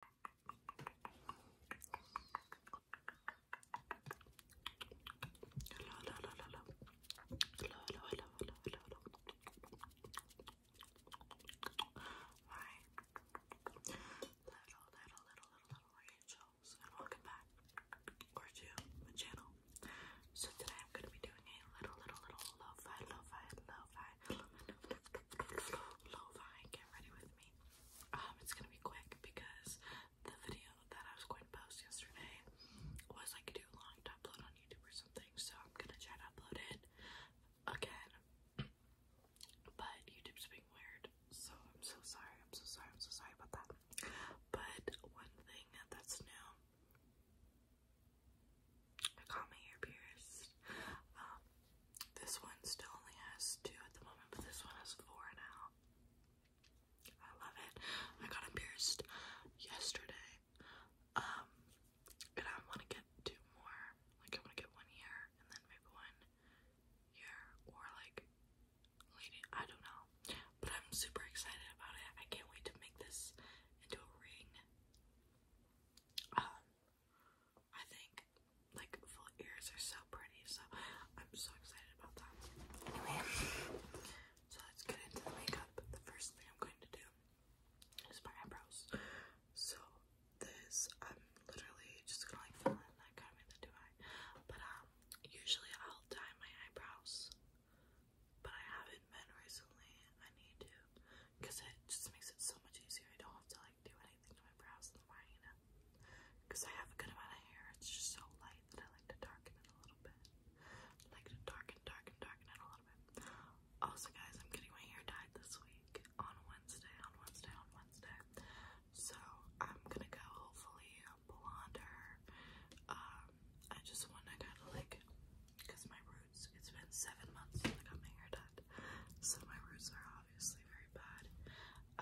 Hello, hello, hello, hello. Hello, hello, hello, hello, hello, hello. Hi. Little, little, little, little angels. And welcome back. Or to my channel. So today I'm gonna be doing a little, little, little lo-fi, lo-fi, lo-fi, lo-fi, get ready with me. Um, it's gonna be quick because the video that I was going to post yesterday was like too long to upload on YouTube or something, so I'm gonna try to upload it again. But YouTube's being weird, so I'm so sorry, I'm so sorry, I'm so sorry about that. But one thing that's new I got my hair pierced. Um, this one still only has two at the moment, but this one has four now. I love it. I got pierced yesterday. Um, and I want to get two more. Like, I want to get one here, and then maybe one here, or like, I don't know. But I'm super excited about it. I can't wait to make this into a ring. Um, I think like full ears are so pretty, so I'm so excited about that. Anyway, so let's get into the makeup. The first thing I'm going to do is my eyebrows. So this I'm literally just gonna like fill in that kind of in But um usually I'll dye my eyebrows. But I haven't been recently. I need to because it just makes it so much easier. I don't have to like do anything to my brows in the morning, you because I have a good amount of hair. It's just so light that I like to darken it a little bit. I like to darken, darken, darken it a little bit. Also, guys, I'm getting my hair dyed this week on Wednesday, on Wednesday, on Wednesday. So I'm gonna go hopefully blonder. Um, I just want to kind of like, cause my roots. It's been seven months since I got my hair dyed. So my roots are obviously very bad.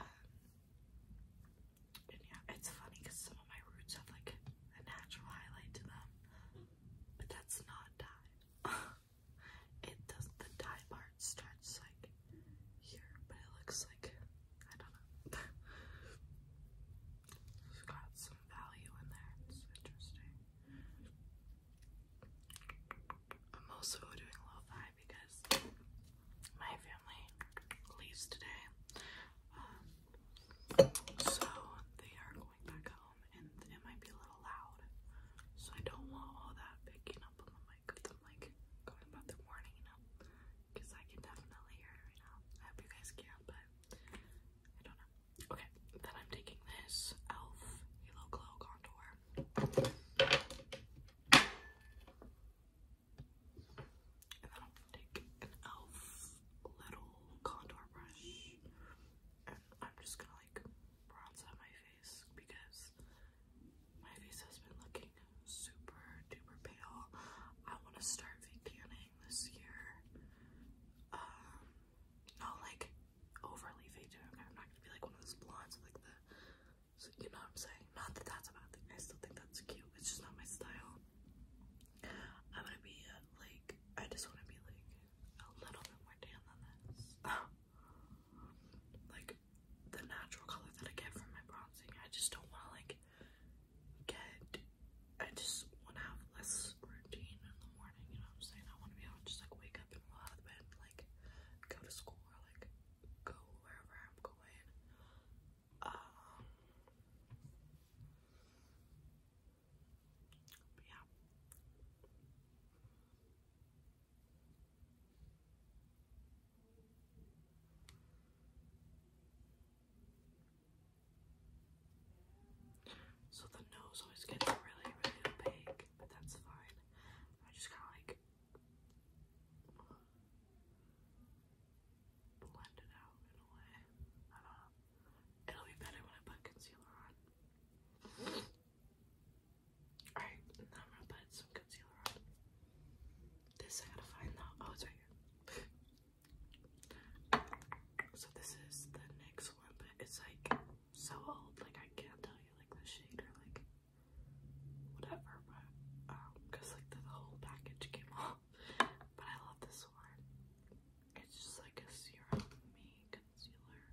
Um, and yeah, it's funny because some of my roots have like a natural highlight to them, but that's not dye. it does the dye part starts like here, but it looks like I don't know. got some value in there. It's interesting. I'm also doing low five because my family leaves today. Um, so they are going back home and it might be a little loud. So I don't want all that picking up on the mic of them like going about their morning, you know? Because I can definitely hear it right now. I hope you guys can, but I don't know. Okay, then I'm taking this e.l.f. Halo Glow Contour. And then I'll take an e.l.f. little contour brush and I'm just gonna like bronze out my face because my face has been looking super duper pale. I wanna start veganing this year. Um, not like overly faded. Okay, I'm not gonna be like one of those blondes with like the, so you know what I'm saying? Not that that's a bad thing. I still think that's cute. It's just not my style. I'm gonna be uh, like, I just wanna be like a little bit more tan than this. like the natural color that I get from my bronzing. I just don't wanna like get, I just wanna have less routine in the morning, you know what I'm saying? I wanna be able to just like wake and well out of bed, like go to school or like go wherever I'm going. Um, yeah. So the nose always gets really, really opaque but that's fine. I just kind of like blend it out in a way. I don't know. It'll be better when I put concealer on. Alright, I'm gonna put some concealer on. This I gotta find though. Oh, it's right here. So this is the next one, but it's like so old, like I can't tell you like the shade or like whatever, but um, cause like the whole package came off. But I love this one. It's just like a serum concealer,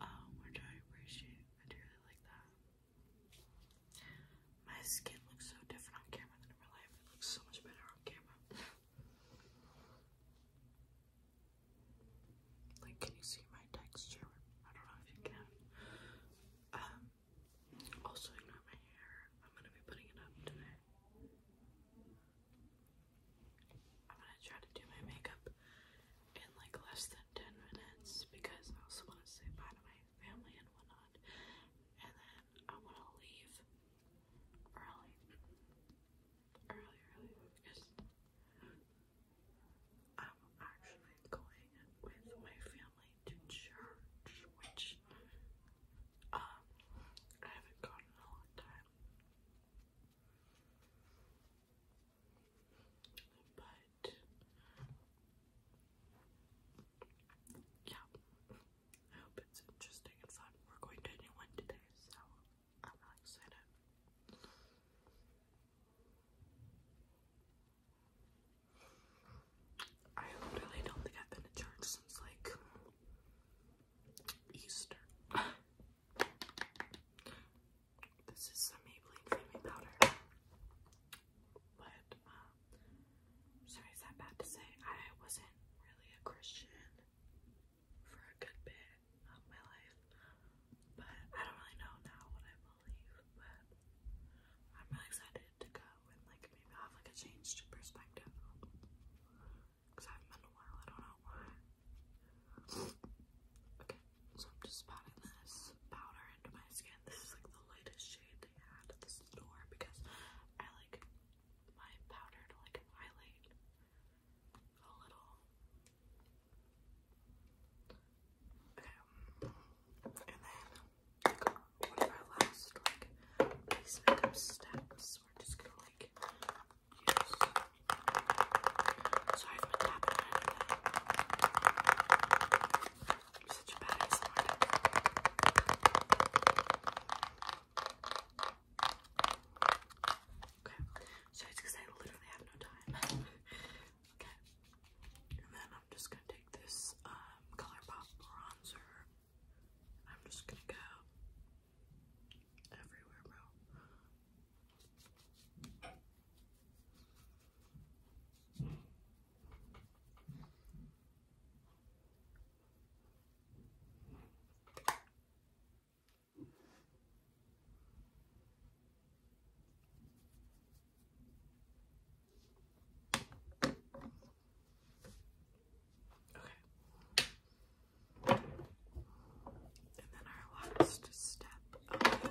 um, which I appreciate. I really like that. My skin looks so different on camera than in real life. It looks so much better on camera. Like, can you see my texture? I don't know if you can. Um, also, you my hair, I'm gonna be putting it up today. I'm gonna try to do my makeup in like less than 10 minutes because I also wanna say bye to my family and whatnot. And then I wanna leave early earlier because I'm actually going with my family to church, which um I haven't gone in a long time. But yeah. I hope it's interesting and fun. We're going to a new one today, so I'm really excited. I really don't think I've been to church since like Easter. this is some Maybelline Flaming Powder. But, um, sorry, is that bad to say? I wasn't really a Christian for a good bit of my life. But I don't really know now what I believe, but I'm really excited to go and like maybe have like a changed perspective. Because I have been a while, I don't know Okay, so I'm just spotting this powder into my skin. This is like the lightest shade they had at the store because I like my powder to like highlight a little. Okay. And then one of our last like base steps. We're just gonna like use sorry for tapping I'm such a bad smart. Okay, so it's because I literally have no time. okay, and then I'm just gonna take this um, ColourPop bronzer. I'm just gonna go everywhere, bro. Okay. And then our last step of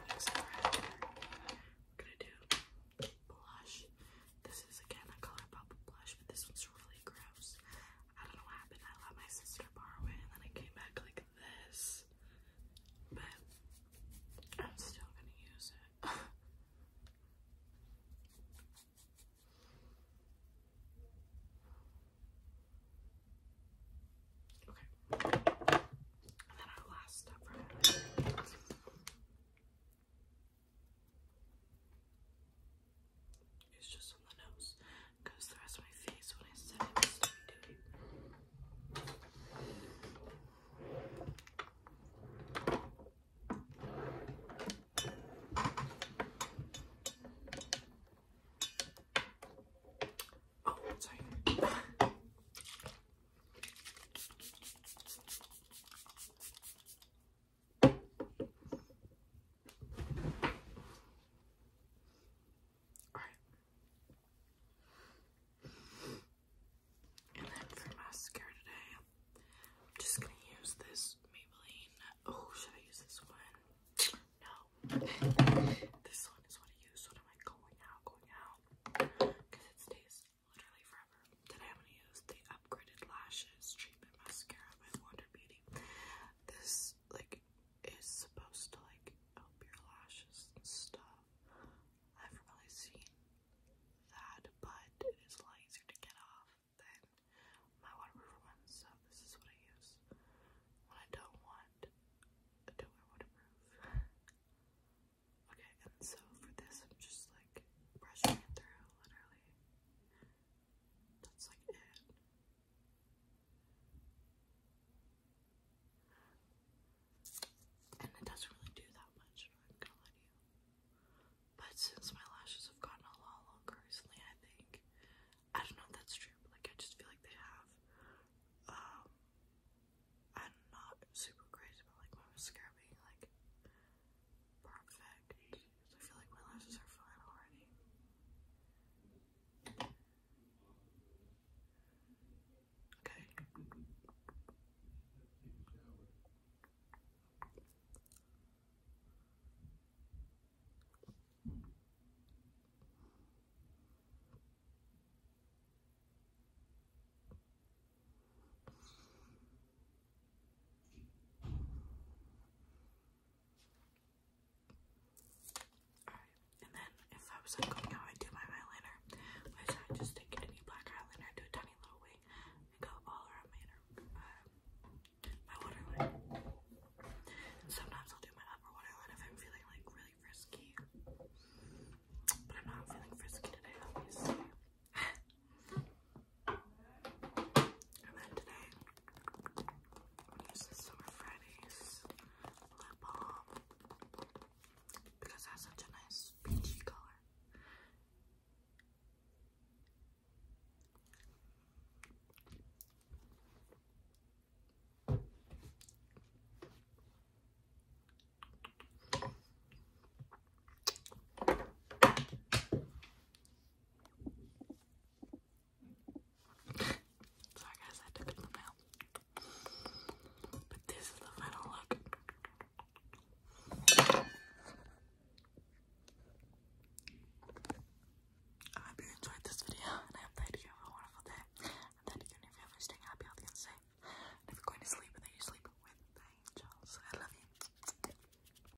gonna do blush. This is again a color ColourPop blush, but this one's really great. I don't know what happened. I let my sister borrow it and then it came back like this. But I'm still gonna use it. okay. And then our last step it's just on the nose. Goes the rest of my face when I said I was to be Alright. And then for mascara today, I'm just going to use this Maybelline. Oh, should I use this one? No. this one is what I use when I'm going out, going out. Because it stays literally forever. Today I'm going to use the Upgraded Lashes Treatment Mascara by Wonder Beauty this like is supposed to like help your lashes and stuff. I have really seen that, but it is a lot easier to get off than my waterproof one, so this is what I use when I don't want I wear waterproof. okay, and so for this I'm just like brushing it through literally. That's like it. And it doesn't really do that much, But since my lashes have gotten a lot longer recently, I think I don't know if that's true, like I just feel like they have. Um, I'm not super crazy about like mascara being like Perfect. I feel like my lashes are fine already. Okay and then if I was like going out, I do my eyeliner, I just take any black eyeliner, do a tiny little wing, and go all around my inner, uh, my waterline. sometimes I'll do my upper waterline if I'm feeling like really frisky, but I'm not feeling frisky today, obviously. And then today, I'm going Summer Fridays lip balm because it has such a nice peachy color. Sorry guys, I took it from now. But this is the final look. I hope you enjoyed this video and I hope that you have a wonderful day. And that you're going to staying happy, healthy, safe. And going to sleep and that you sleep with the angels. I love you.